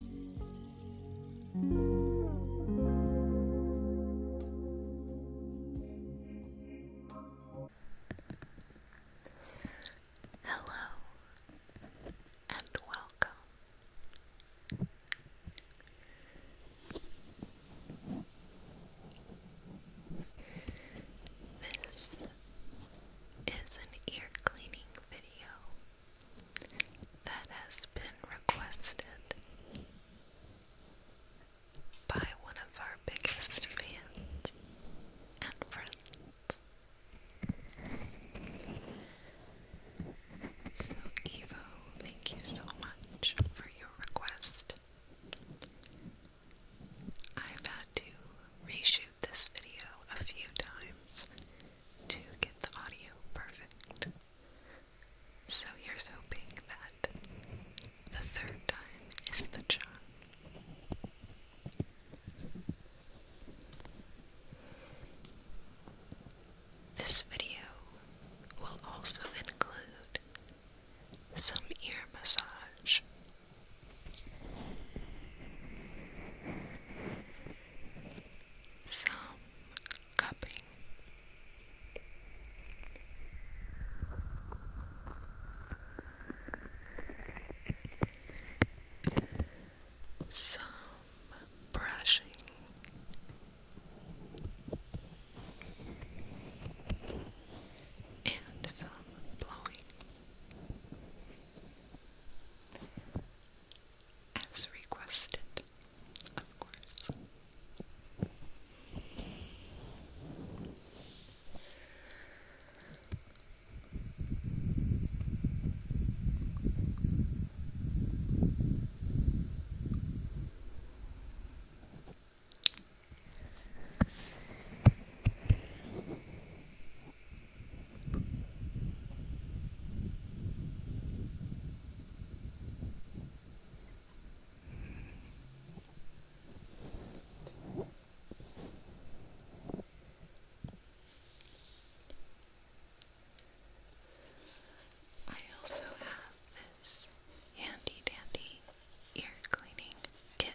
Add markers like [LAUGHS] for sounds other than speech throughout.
Hello and welcome. This is an ear cleaning video that has been requested by one of our biggest fans and friends. So, Evo, thank you so much for your request. I've had to reshoot this video a few times to get the audio perfect. So here's hoping that the third time is the charm. This video will also include some ear massage. Some cupping. Some brushing. And some blowing as requested, of course. I also have this handy dandy ear cleaning kit.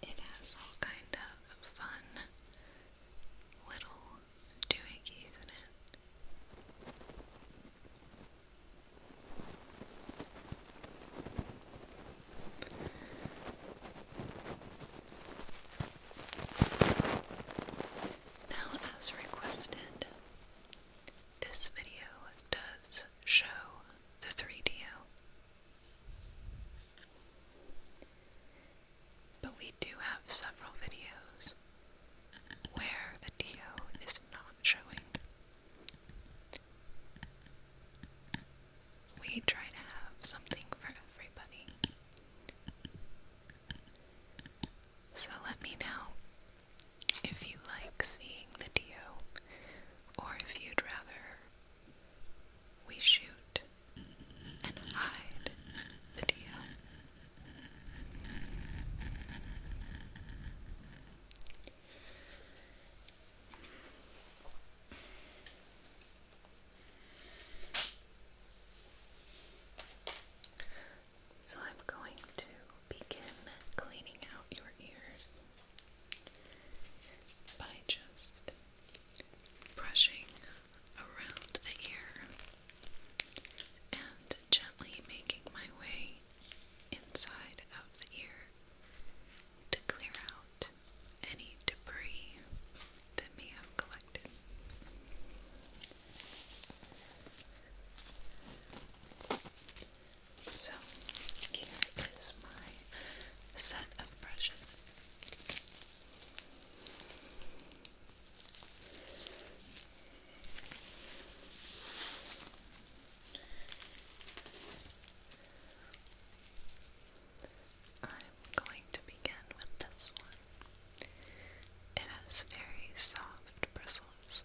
It has all kind of fun little doohickeys in it. Now, as requested, this video does show the 3DO. But we do have several videos where the DO is not showing. We try to have something for everybody. So let me know if you like seeing the DO or if you'd rather we shoot and hide the deal. So I'm going to begin cleaning out your ears by just brushing around the ear and gently making my way inside of the ear to clear out any debris that may have collected. So, here is my set of brushes. I'm going to begin with this one. It has very soft bristles.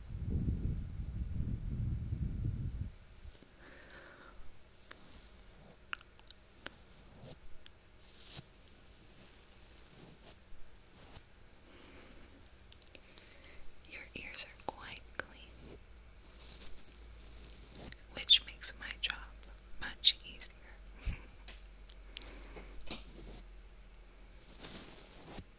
Your ears are quite clean, which makes my job much easier. [LAUGHS]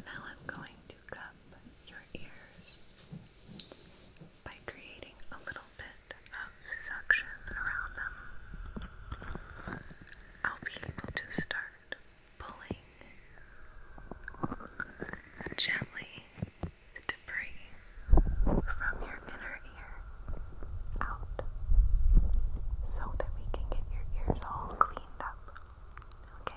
Now I'm going to cup your ears by creating a little bit of suction around them. I'll be able to start pulling gently the debris from your inner ear out so that we can get your ears all cleaned up. Okay?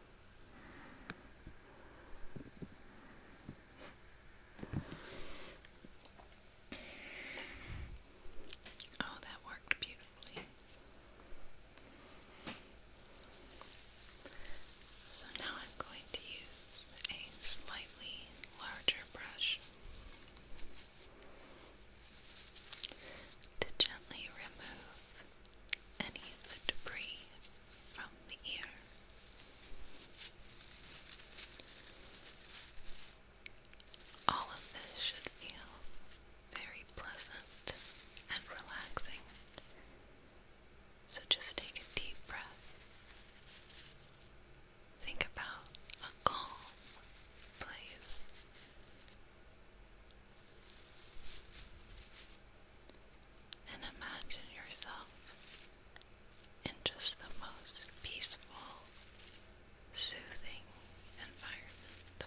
Oh, that worked beautifully. So now I'm going to use a slightly larger brush to gently remove any of the debris from the ear. All of this should feel very pleasant and relaxing. So just take a deep breath. Think about a calm place and imagine yourself in just the most peaceful, soothing environment.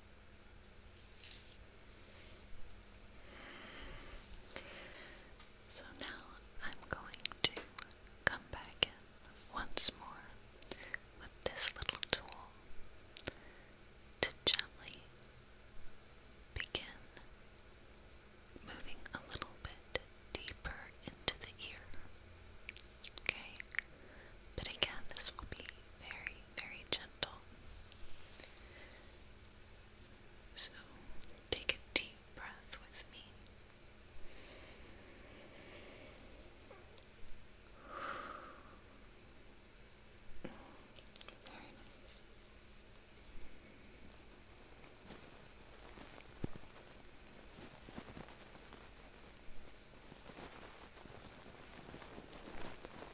So now I'm going to come back in once more with this little tool to gently begin moving a little bit deeper into the ear. Okay? But again, this will be very very gentle. So take a deep breath with me. Very nice.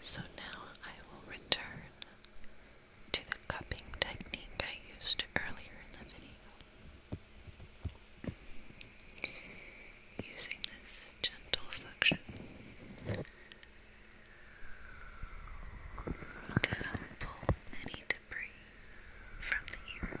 So now I will return to the cupping technique I used earlier in the video. Using this gentle suction to pull any debris from the ear.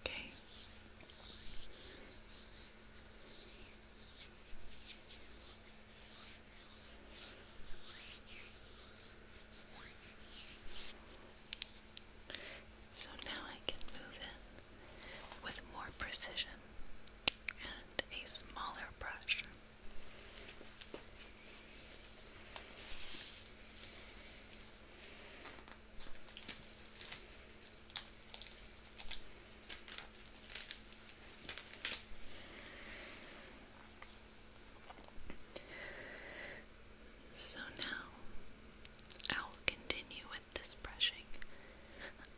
Okay. So now I can move in with more precision and a smaller brush. So now I will continue with this brushing.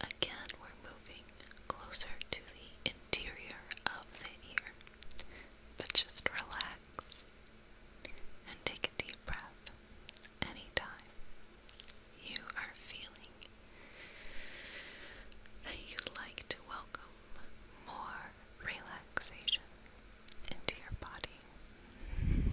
Again, we're moving closer to the interior of the ear. But just relax and take a deep breath anytime you are feeling that you'd like to welcome more relaxation into your body.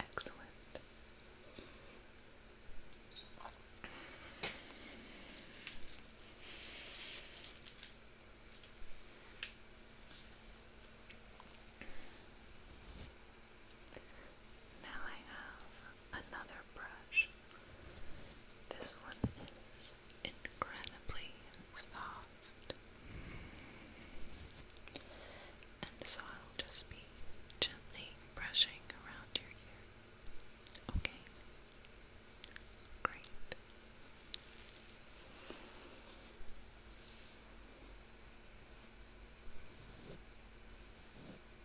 Excellent. Now I have another brush this one is incredibly soft. And so I'll just be gently brushing around your ear. Okay? Great.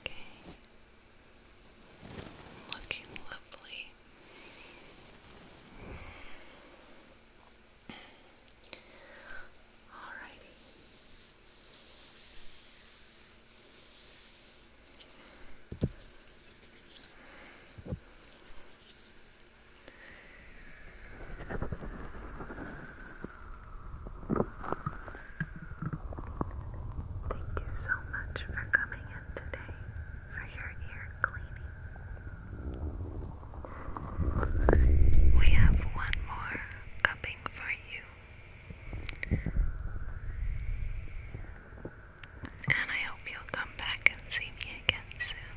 Okay. Looking lovely. All righty. Thank you so much for coming in today for your ear cleaning. We have one more cupping for you. And I hope you'll come back and see me again soon.